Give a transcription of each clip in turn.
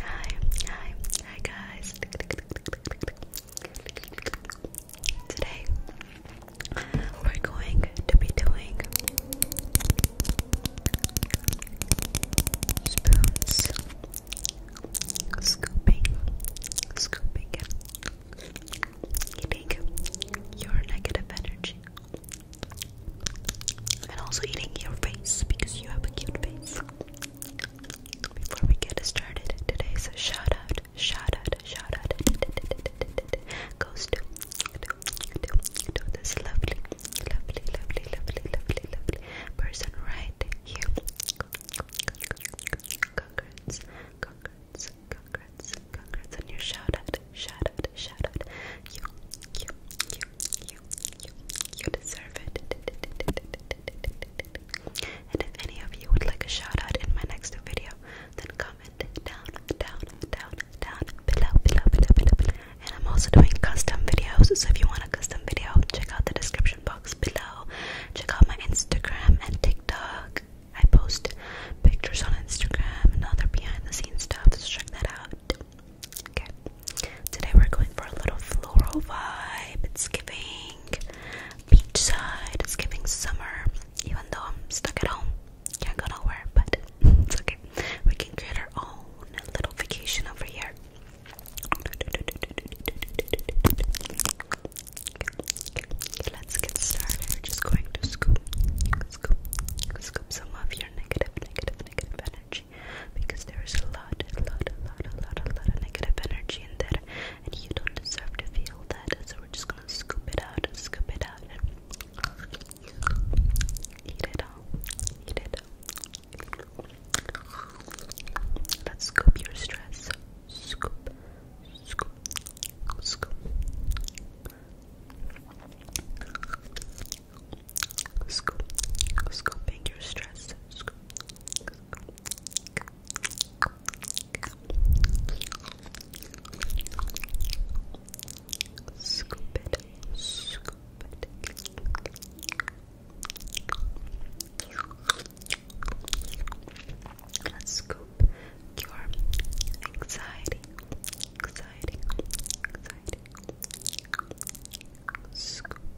Hi, hi, hi guys. Today we're going to be doing spoons, scooping, scooping, eating your negative energy. And also eating your face because you have a cute face. Before we get started, today's shout out, shout out, shout out goes to, this lovely, lovely, lovely, lovely, lovely, lovely person right here. Congrats, congrats, congrats, congrats on your shout out, shout out, shout out. You, you, you, you, you, you deserve it. And if any of you would like a shout out in my next video, then comment down, down, down, down, below. And I'm also doing custom videos, so if you want a custom video, check out the description box below. Check out my Instagram and TikTok. I post pictures on Instagram and other behind the scenes stuff, so check that out. Okay. Today we're going for a little floral vibe. It's giving beachside. It's giving summer. Even though I'm stuck at home, can't go nowhere, but it's okay. We can create our own little vacation over here. let's get started. We're just going to scoop, scoop, scoop some of your negative, negative, negative energy because there is a lot, a lot, a lot, a lot, a lot of negative energy in there, and you don't deserve to feel that. So we're just gonna scoop it out, scoop it out, eat it all, eat it Let's scoop your stress. Scoop, scoop, scoop scoop, scooping your stress, scoop, it, scoop it. Let's scoop your anxiety, anxiety, anxiety. Scoop,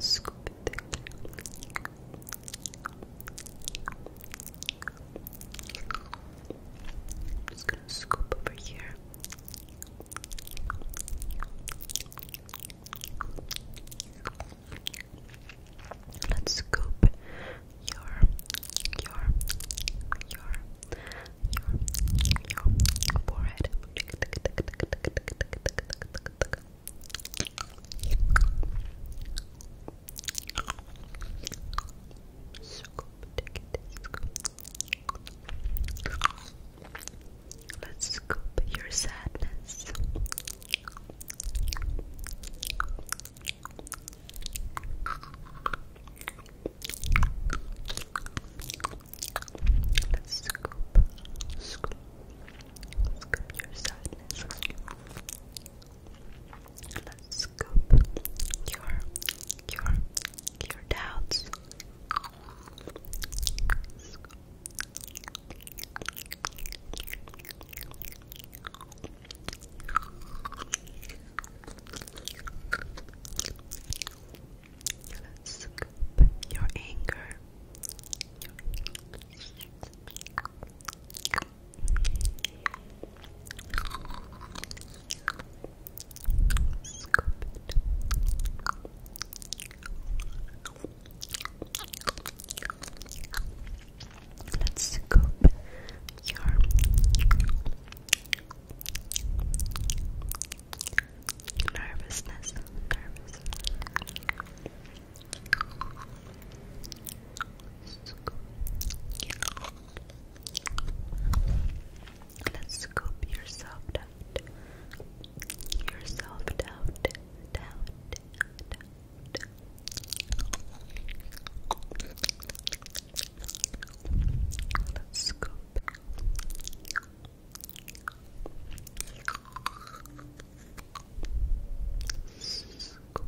just gonna scoop over here. Let's scoop your your your your, forehead. Let's scoop your sadness. Scoop, scoop, scoop your sadness. Let's scoop your, your, your doubts. Scoop your anger. Let's scoop your nervousness, nervous. Let's scoop yourself out, yourself down, down, down. Let's scoop, Scoop. Scoop.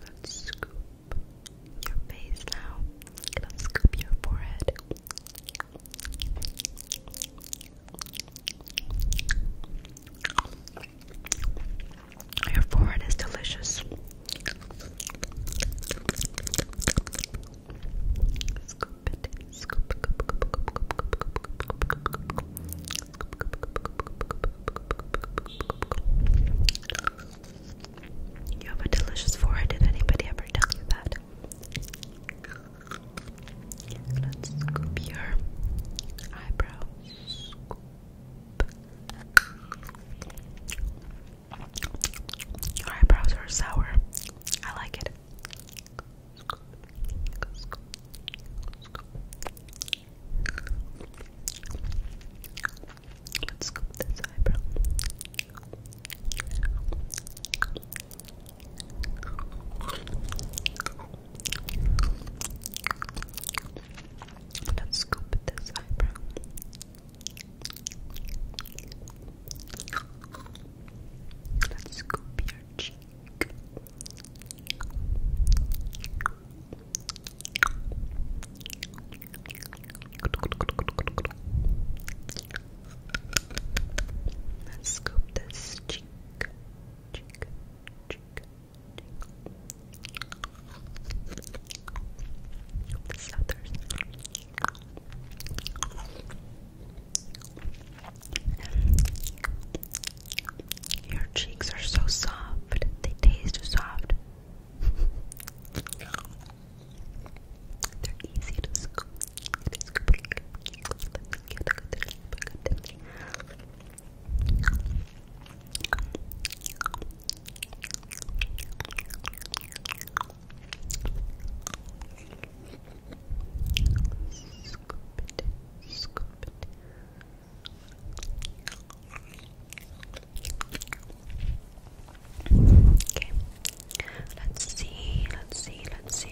Let's scoop your face now. Let's scoop your forehead. Your forehead is delicious. You have a delicious forehead. Did anybody ever tell you that? Let's scoop your eyebrows. Scoop. Your eyebrows are sour. I like it. Let's scoop this eyebrow. Let's scoop this eyebrow. Let's scoop your cheek. Let's scoop this cheek, cheek, cheek, your cheeks are so soft. They taste soft. They're easy to scoop. Scoop it, Let's see, let's see, let's see.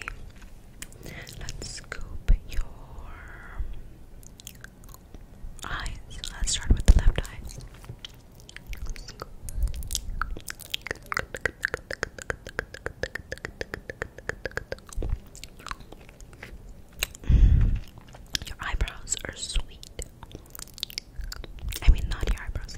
Let's scoop your eyes. Let's start with the left eye. Your eyebrows are sweet. I mean, not your eyebrows,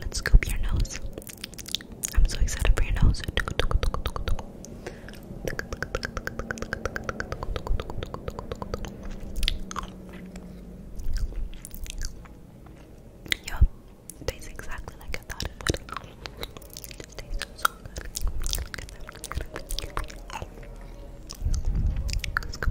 Let's scoop your nose. I'm so excited for your nose. Yup, tastes exactly like I thought it would. tastes so good. Let's go.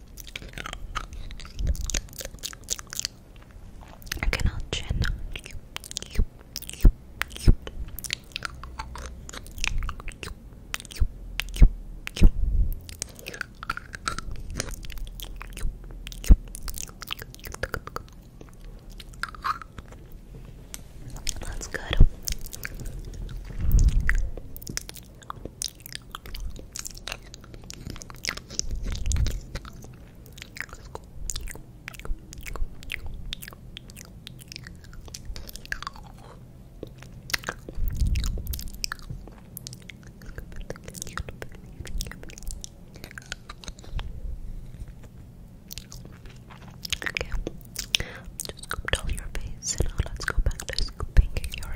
I cannot chin. That's good. Okay, just scooped all your face. Now let's go back to scooping your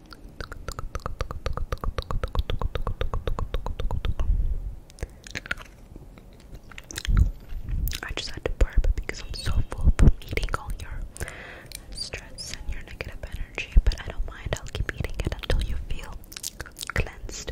I just had to burp because I'm so full from eating all your stress and your negative energy, but I don't mind. I'll keep eating it until you feel cleansed.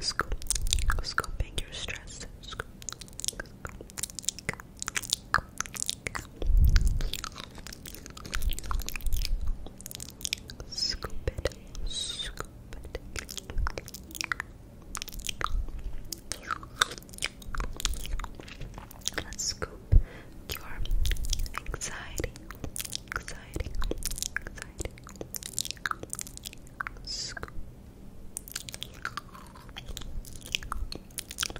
Scoop, scooping your stress. Scoop it, scoop it. Let's scoop your anxiety, anxiety, anxiety. Scoop.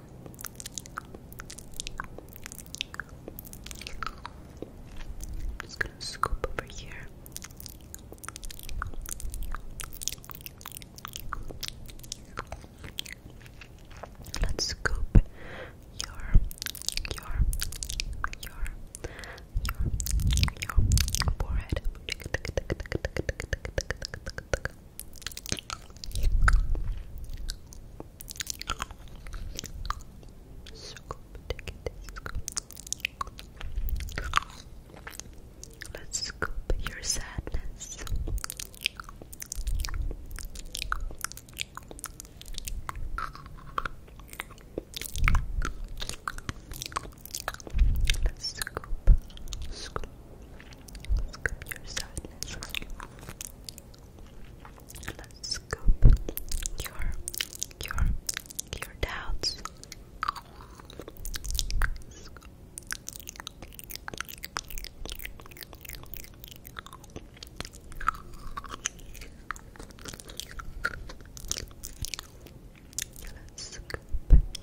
I'm just gonna scoop over here. Let's scoop your your your your your forehead. Scoop, take it, Let's scoop your sadness. Let's scoop, Scoop your sadness. Let's scoop your your your doubts. Let's scoop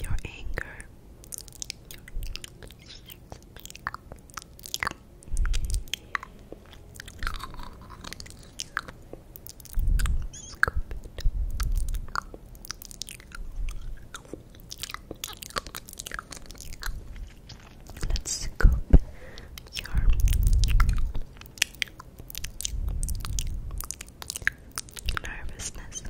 your anger. Let's scoop your nervousness,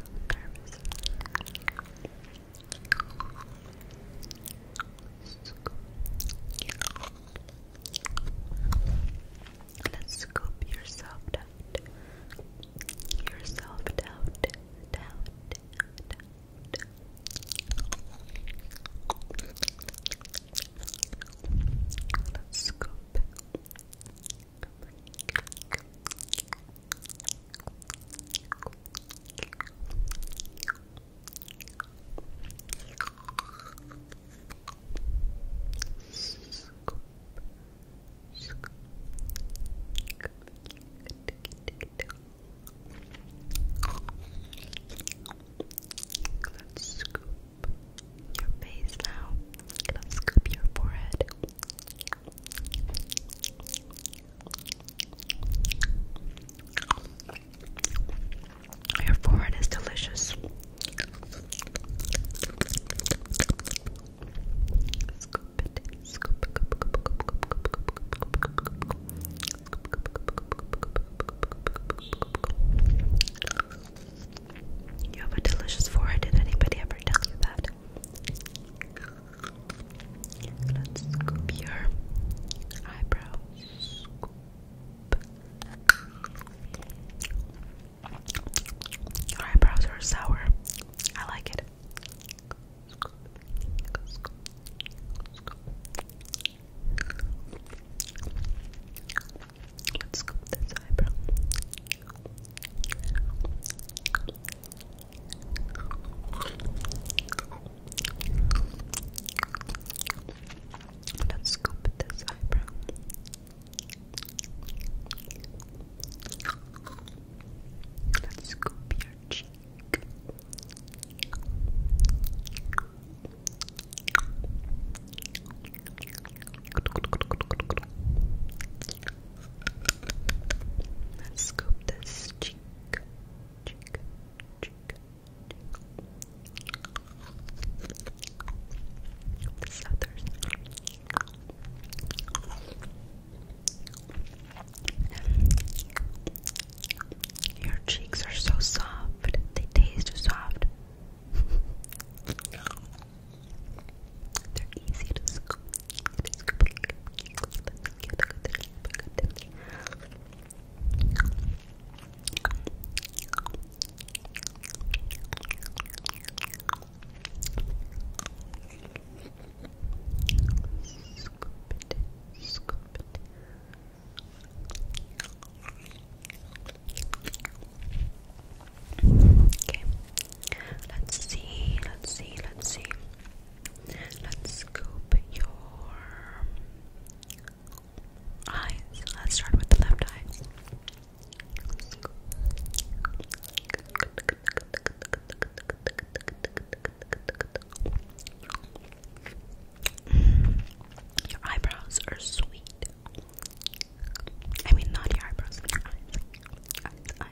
Let's scoop yourself out. Yourself out. Down. Down. Let's scoop, Let's scoop your face now. Let's scoop your forehead. Your forehead is delicious. You have a delicious forehead. Did anybody ever tell you that? Let's scoop your eyebrows. eyebrows are sour. I like it. Let's scoop this eyebrow. Let's scoop this eyebrow. Let's scoop your cheek. Let's scoop this cheek your cheeks are so soft. They taste soft. They're easy to scoop scoop it. Okay. Let's see, let's see, let's see. Let's scoop your eyes. Let's start with the left eye. Your eyebrows are sweet. I mean, not eyebrows, eyes.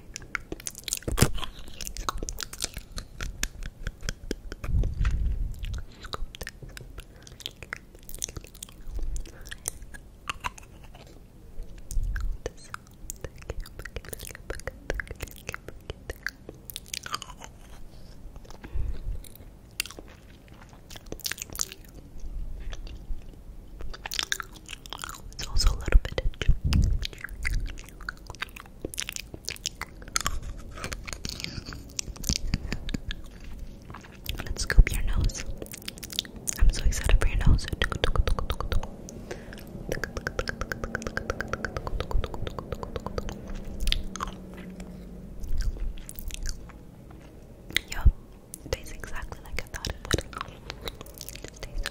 It's also a little bit of Let's scoop your nose. I'm so excited for your nose. Yup, it tastes exactly like I thought it would. It tastes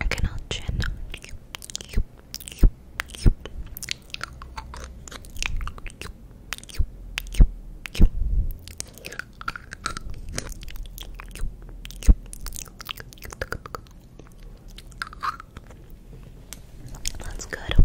I cannot chin. That's good.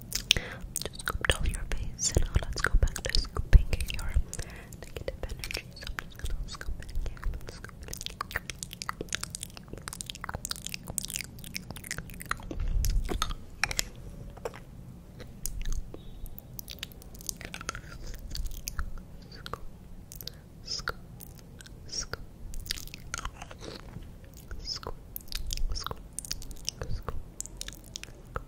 Just scooped all your face, and now let's go back to scooping your negative energy. So I'm just gonna scoop it Let's scoop it again. Scoop, scoop, scoop, scoop, scoop, scoop, scoop, scoop, scoop, scoop, scoop, scoop, scoop, scoop, scoop, scoop, scoop, scoop, scoop,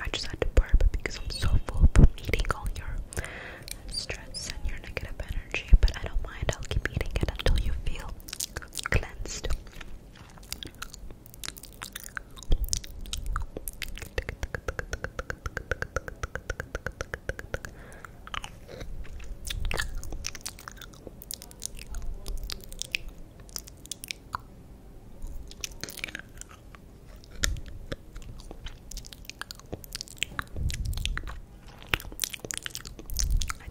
I just had to burp because I'm so full from eating all your stress and your negative energy, but I don't mind. I'll keep eating it until you feel cleansed. I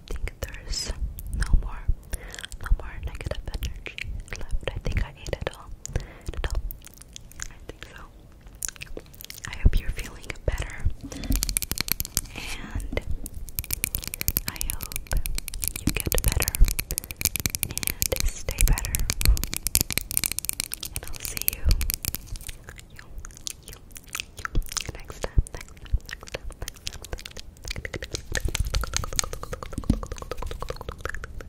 think there's no more, no more negative energy left. I think I ate it all. I think so. I hope you're feeling better. And I hope you get better and stay better. And I'll see you, next time. Next time, next time, next time, next time.